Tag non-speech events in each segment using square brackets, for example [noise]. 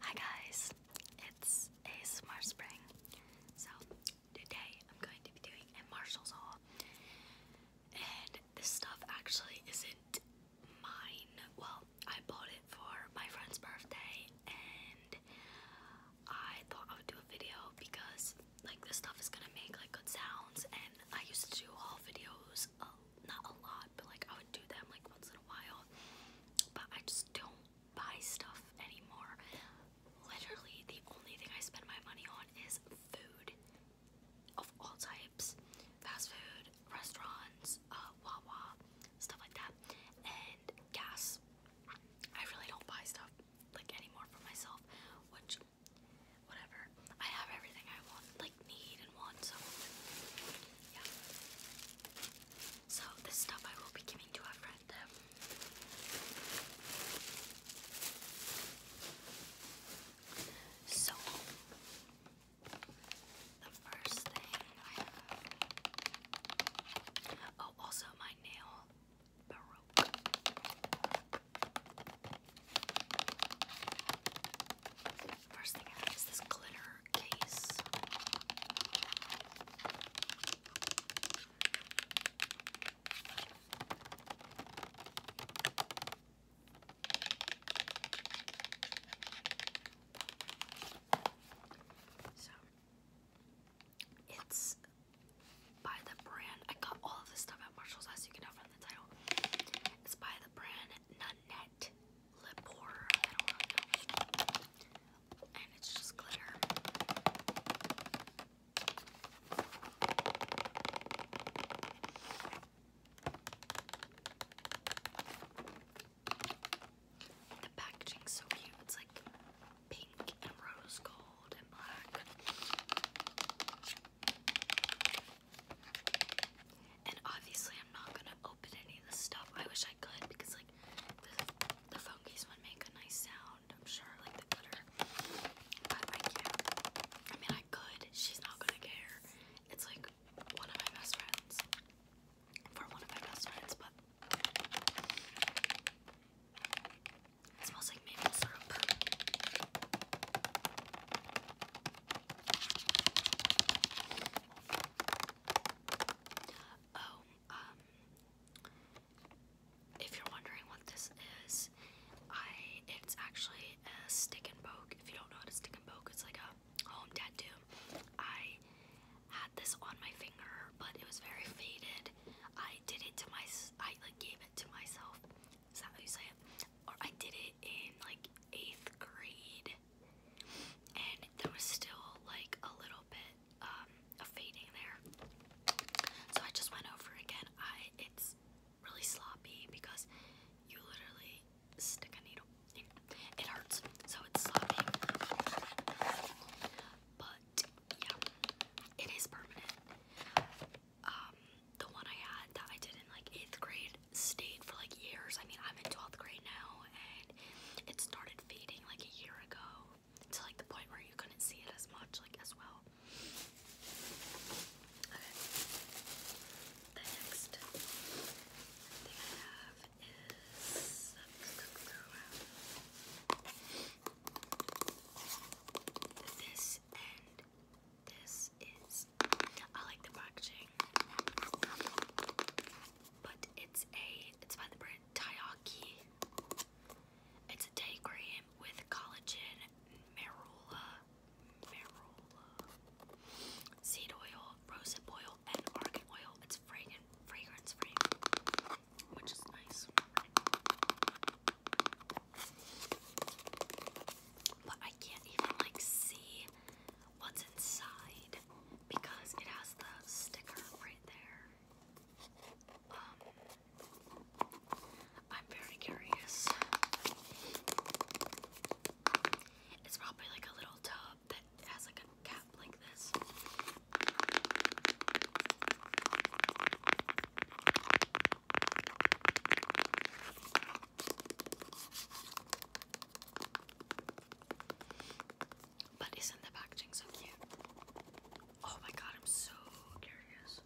Hi guys, it's ASMR Spring. So today I'm going to be doing a Marshall's haul. And this stuff actually isn't mine. Well, I bought it for my friend's birthday and I thought I would do a video because like this stuff is gonna make like good sounds and I used to do haul videos not a lot, but like I would do them like once in a while. But I just don't buy stuff anymore. Literally, the only thing I spend my money on is food of all types fast food, restaurants, uh, Wawa, stuff like that, and gas. I really don't buy stuff like anymore for myself, which, whatever. I have everything I want need and want so yeah. So this stuff I will be giving to a friend. So the first thing Oh also my nail First thing I have is this glitter case. So it's by the brand. I got all of this stuff at Marshall's, as you can tell from the title. It's by the brand Nanette lip horror. I don't know. And it's just glitter. The packaging's so cute. It's like pink and rose gold and black. And obviously, I'm not gonna open any of this stuff. I wish I could because, like, the, the phone case would make a nice sound, I'm sure, like the glitter. But I can't. I mean, I could. She's not gonna care. It's like one of my best friends. For one of my best friends, but. It smells like maple syrup. Oh, um, if you're wondering what this is, I it's actually a stick and poke. If you don't know what a stick and poke, it's like a home tattoo. I had this on my finger, but it was very faded. I did it to my I like gave it to myself. Is that how you say it? Or I did it in like eighth grade and there was still like a little bit um, of fading there. So I just went over again. I it's really sloppy because you literally stick a needle. It hurts, so it's sloppy. But yeah, it is permanent. Um, the one I had that I did in like eighth grade stayed for like years. I mean, I'm in 12th grade now, and it started fading like a year ago to like the point where you couldn't see it as much, like as well. The next thing I have is. This and this is. I like the packaging. But it's a it's by the brand Taiyaki. It's a day cream with collagen, marula, marula, seed oil, rosehip oil, and argan oil. It's fragrant, fragrance free, which is nice. But I can't even like see what's inside because it has the sticker right there. Um, I'm very curious. It's probably like a little tub that has like a cap like this. But isn't the packaging so cute? Oh my god, I'm so curious.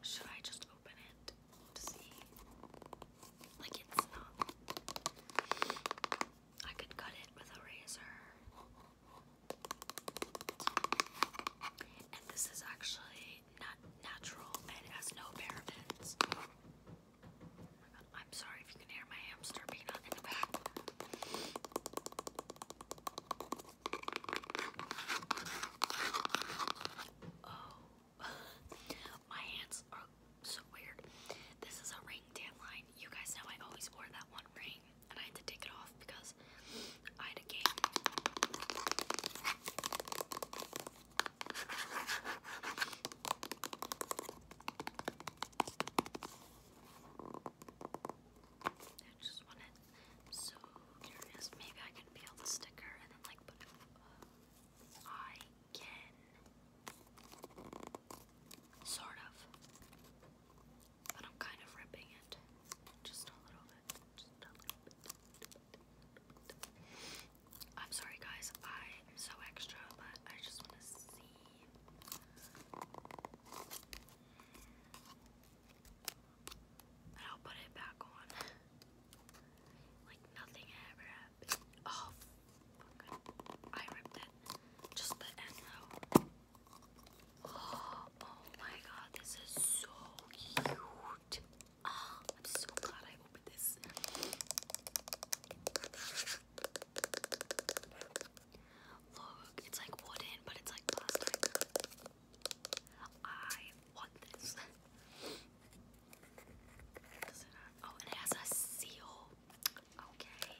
Should I just open it to see? Like, it's not. I could cut it with a razor. this is actually not natural and has no parabens. I'm sorry if you can hear my hamster peanut in the back. Oh, [laughs] my hands are so weird. This is a ring tan line. You guys know I always wore that one ring, and I had to take it off because I had a game. I just want it so curious. Maybe I can peel the sticker and then like put it. Uh, I can sort of, but I'm kind of ripping it just a little bit. Just a little bit. I'm sorry guys, I am so extra, but I just want to see. I'll put it back on. like nothing ever happened. Oh, I ripped it. Just the end though. [gasps] oh my god, this is so cute. Oh, I'm so glad I opened this. Look, it's like wooden, but it's like plastic. I want this. it oh, it has a seal. Okay.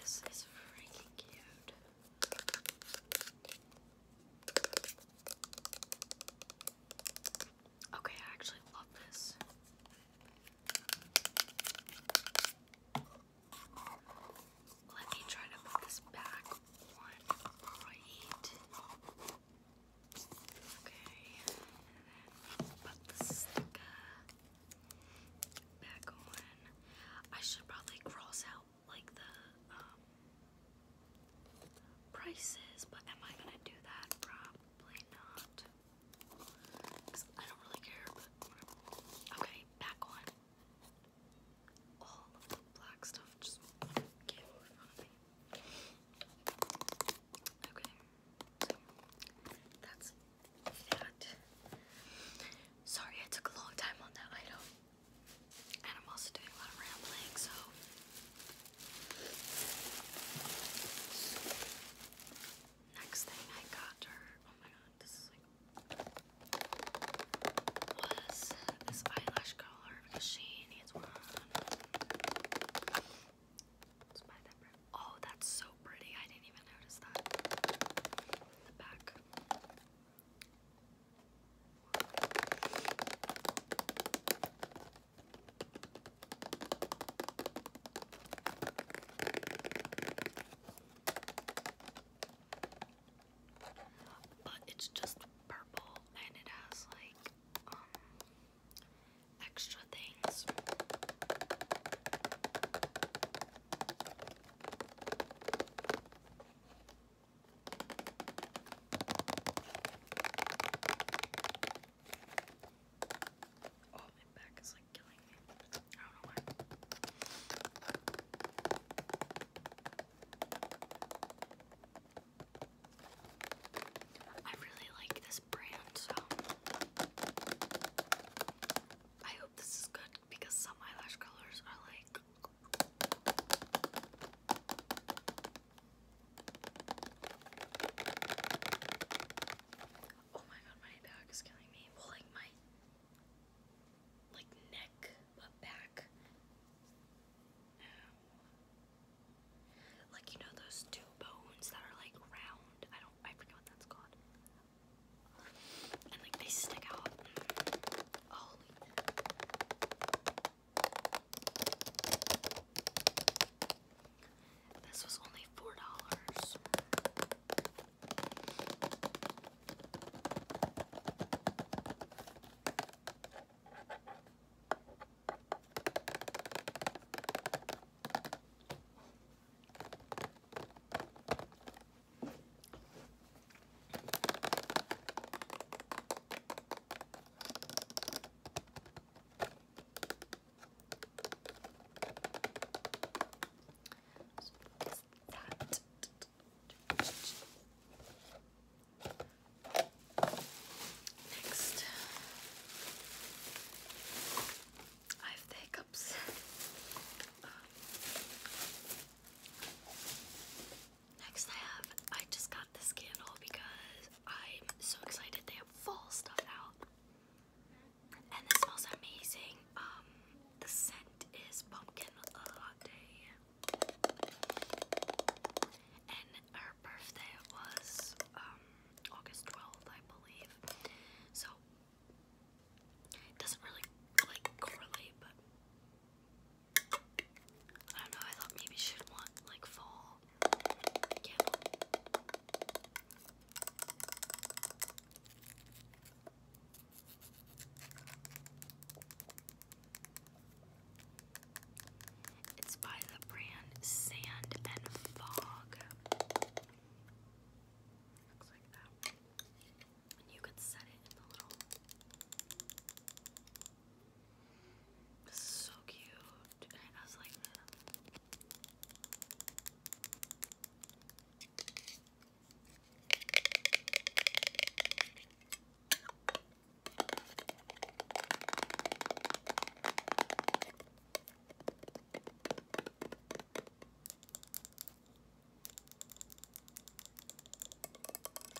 This is freaking cute. Okay, I actually love this. Let me try to put this back on right. Okay, put the sticker back on. I should probably cross out like the um, prices, but am I gonna do that? Probably not. I don't really care, Okay, back on. All the black stuff just came Okay, so that's that. Sorry, I took a long time on that item. And I'm also doing a lot of rambling, so next thing I got her, oh my god, this is like was this eyelash curler she needs one. Oh, that's so pretty. I didn't even notice that. The back. But it's just purple and it has like um extra things. Oh, my back is like killing me. I don't know why. I really like this brand, so I hope this is good because some eyelash colors are like Oh my god, my back is killing me. Well, like my like neck, back. Like you know those two bones that are like round. I don't. I forget what that's called. And like they stick out. Holy. This was only four dollars that. Next, I have the hiccups. Next I have, I just got this candle because I'm so excited they have fall stuff out. And this smells amazing. Um, the scent is pumpkin latte. And her birthday was um, August 12th, I believe. So, it doesn't really, like, correlate, but I don't know, I thought maybe she'd want like fall It's by the brand Sand and Fog. Looks like that. you could set it in the little this is so cute. And it like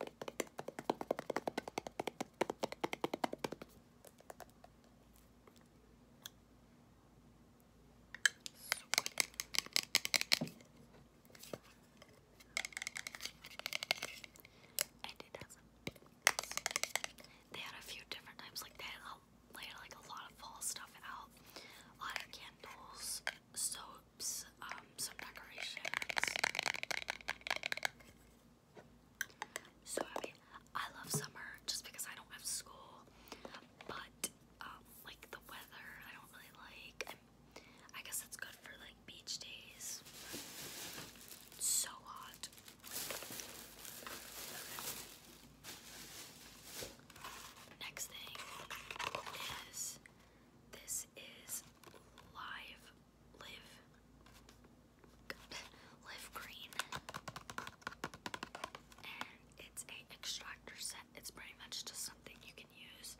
And it They had a few different types, like they had, they had like a lot of fall stuff out, a lot of candles, soaps, um, some decorations. So I mean, I love summer just because I don't have school, but um, like the weather, I don't really like. i guess it's good for like beach days. so hot. Next thing is this is live live live green and it's a extractor set it's pretty much just something you can use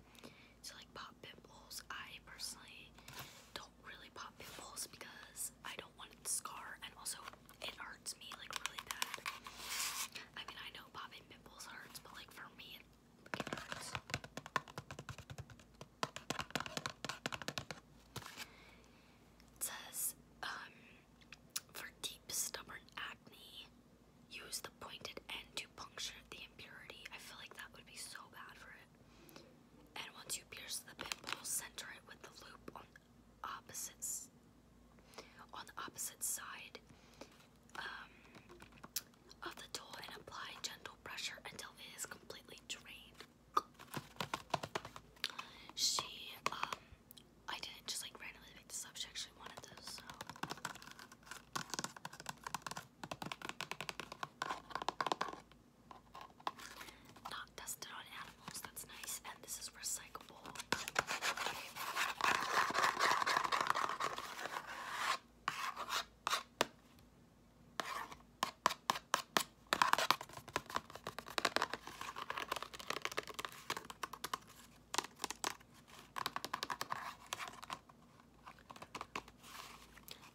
to like pop pimples I personally don't really pop pimples because I don't want scar and also it hurts me like really bad I mean I know popping pimples hurts but like for me says, um, for deep, stubborn acne, use the pointed end to puncture the impurity. I feel like that would be so bad for it. And once you pierce the pimple, center it with the loop on the opposite, on the opposite side um, of the tool and apply gentle pressure until it is completely drained. She, um, I didn't just like randomly pick this up. She actually wanted this, Not tested on animals, that's nice. And this is recyclable.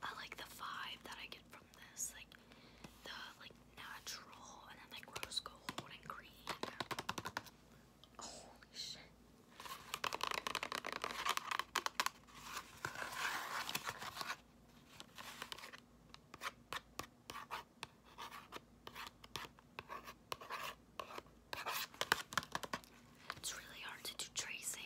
I like the vibe that I get from this, like the like natural and then like rose gold and green. Holy shit. It's really hard to do tracing.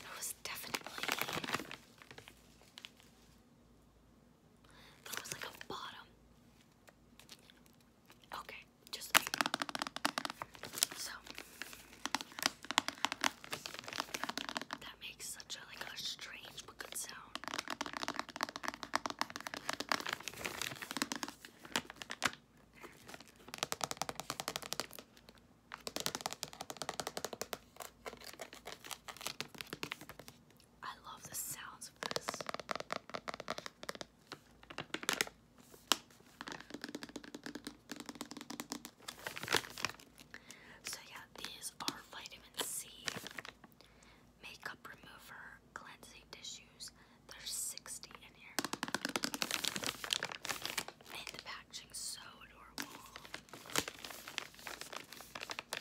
That was definitely that was like a bottom. Okay, just so makes such a like a strange but good sound. I love the sounds of this. So yeah, these are vitamin C makeup remover cleansing tissues. There's 60 in here. And the packaging's so adorable. But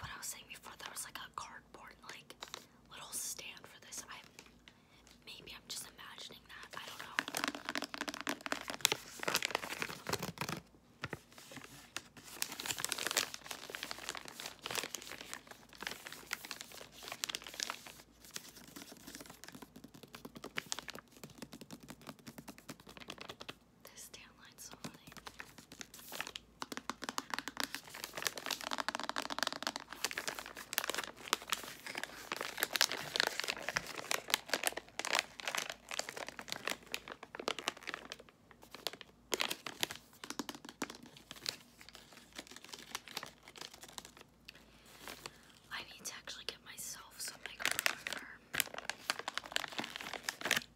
what I was saying before, there was like a cardboard like little stand for this. I Maybe I'm just imagining that. I don't know. This tan line's so funny. I need to actually get myself some microfiber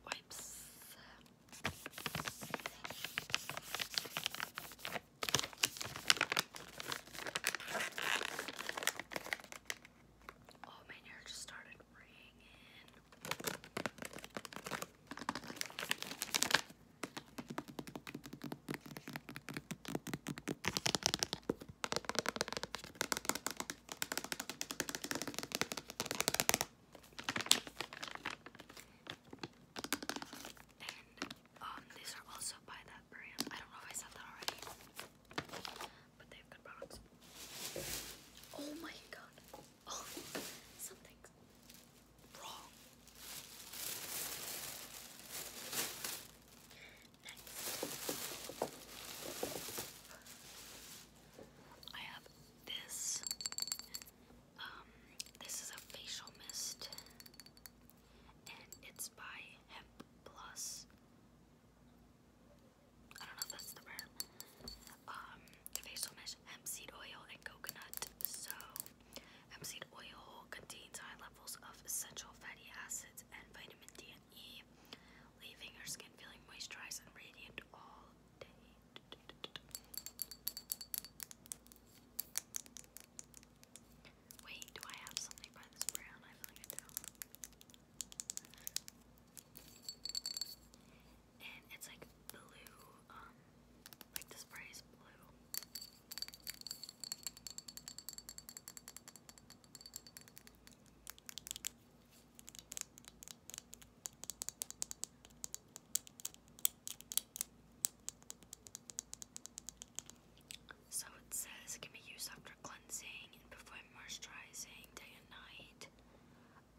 wipes. Oh, my hair just started ringing and um, these are also by that brand. I don't know if I said that already, but they have good products. Oh my god! Oh, wrong. I have this. Um, this is a facial mist and it's by Hemp Plus. I don't know if that's the brand. Um, facial mesh hemp seed oil and coconut. So, hemp seed oil contains high levels of essential fatty acids and vitamin D and E, leaving your skin feeling moisturized and radiant all day. Wait, do I have something by this brown? I feel like I And it's like blue, um, like the spray is blue. So it says it can be used after cleansing and before moisturizing day and night.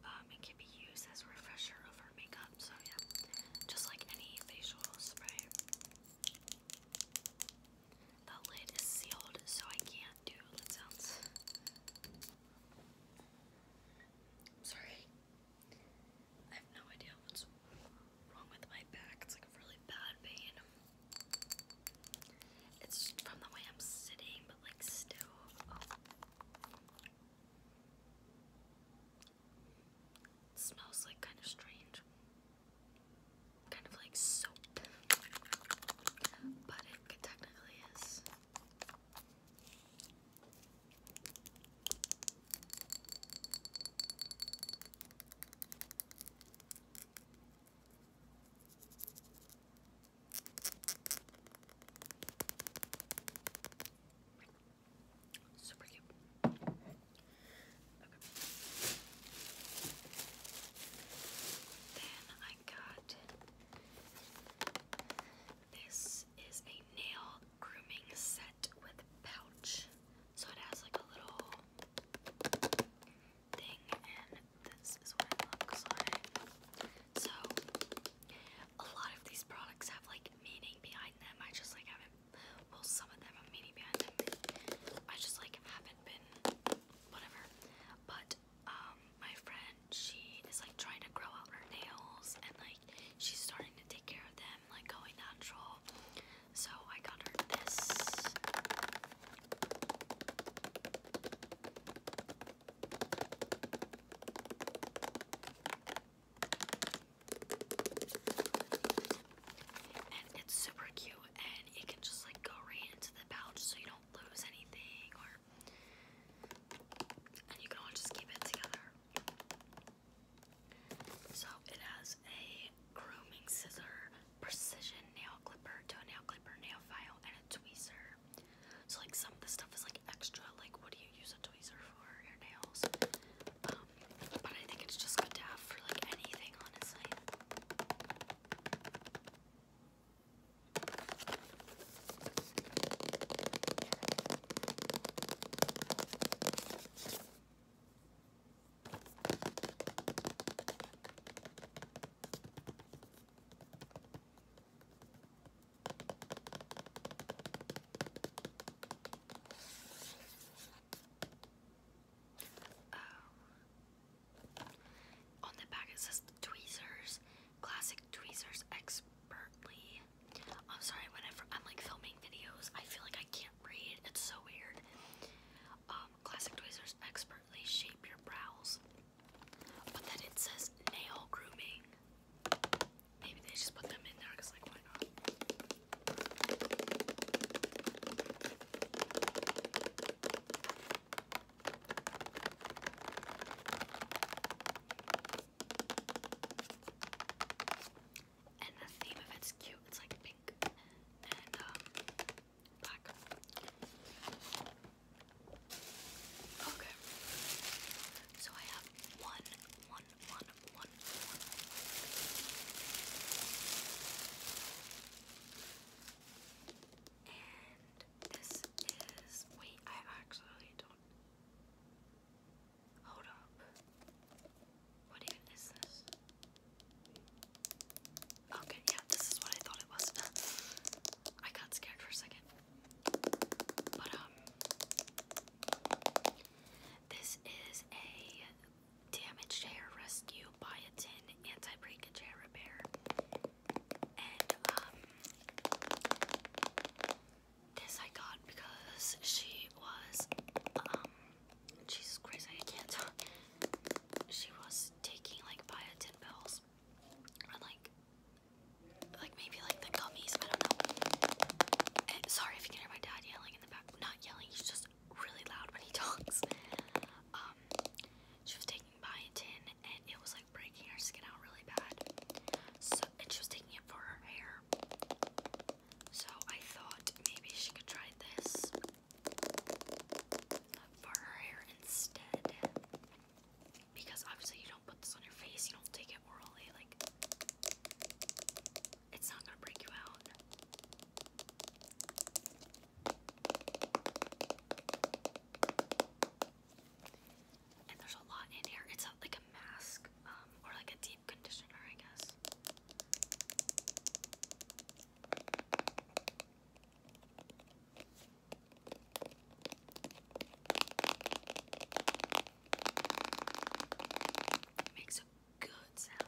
Um, it can be used as a refresher over makeup, so yeah, just like any facial spray. The lid is sealed, so I can't do lid sounds. Sorry, I have no idea what's wrong with my back. It's like a really bad pain. It's from the way I'm sitting, but like still. smells like kind of strange. Kind of like soap. But it technically is. Super cute. Okay. Then I got this is a nail grooming set with pouch. So it has like a little thing, and this is what it looks like. So a lot of these products have like meaning behind them. I just like haven't. Well, some of them have meaning behind them. I just like haven't been whatever. But um, my friend, she is like trying to grow out her nails, and like she's starting to take care of them, like going natural. So I got her this. And it's super cute and it can just like go right into the pouch so you don't lose anything or and you can all just keep it together. So it has a grooming scissor, precision nail clipper to clipper, nail file, and a tweezer. So like some of this stuff is like extra, like what do you use a tweezer for your nails? Um, but I think it's just good to have for like anything, honestly. Oh. on the back it says tweezers, classic tweezers expertly. I'm sorry, whenever I'm like filming videos, I feel like I can't. It's so weird. Um, classic tweezers expertly shape your brows. But then it says nail grooming. Maybe they just put them in there because, like, why not? and the theme of it's cute. It's like pink and um, black. Okay. So I have one, one, one, one, one. And this is. Wait, I actually don't. Hold up. What even is this? Okay, yeah, this is what I thought it was. [laughs] I got scared for a second. But, um, this is a damaged hair rescue biotin anti-breakage repair. And, um, this I got because she was, um, Jesus Christ, I can't talk. She was taking like biotin pills and like like maybe like the gummies, I don't know. Eh, sorry if you can hear my dad yelling in the back. Not yelling, he's just really loud when he [laughs] talks. Um she was taking biotin and it was like breaking her skin out really bad. So and she was taking it for her hair. So I thought maybe she could try this uh, for her hair instead. Because obviously you don't put this on your face, you don't take it orally, like it's not gonna break you out. And there's a lot in here. It's like a mask um, or like a de conditioner, I guess. makes a good sound.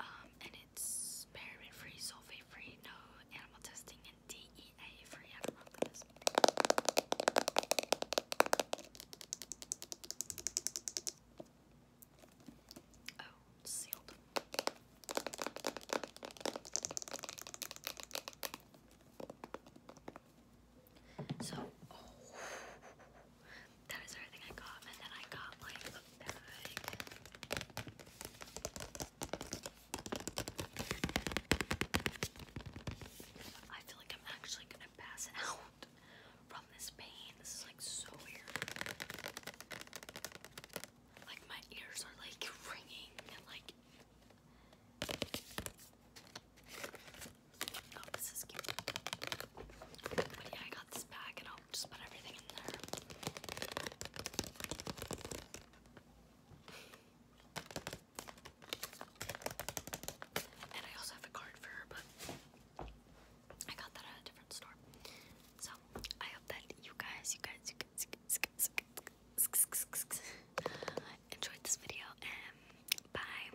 Um, and it's paraben free, sulfate free, no animal testing, and DEA free. I don't know what that is. Oh, sealed. So, oh, that is everything I got, and then I got like I feel like I'm actually gonna pass out from this pain. This is like so weird. Like my ears are like ringing and like Oh, this is cute. But yeah, I got this bag and I'll just put everything in there. And I also have a card for her, but I got that at a different store. So I hope that you you guys, you guys, you guys enjoyed this video. And bye.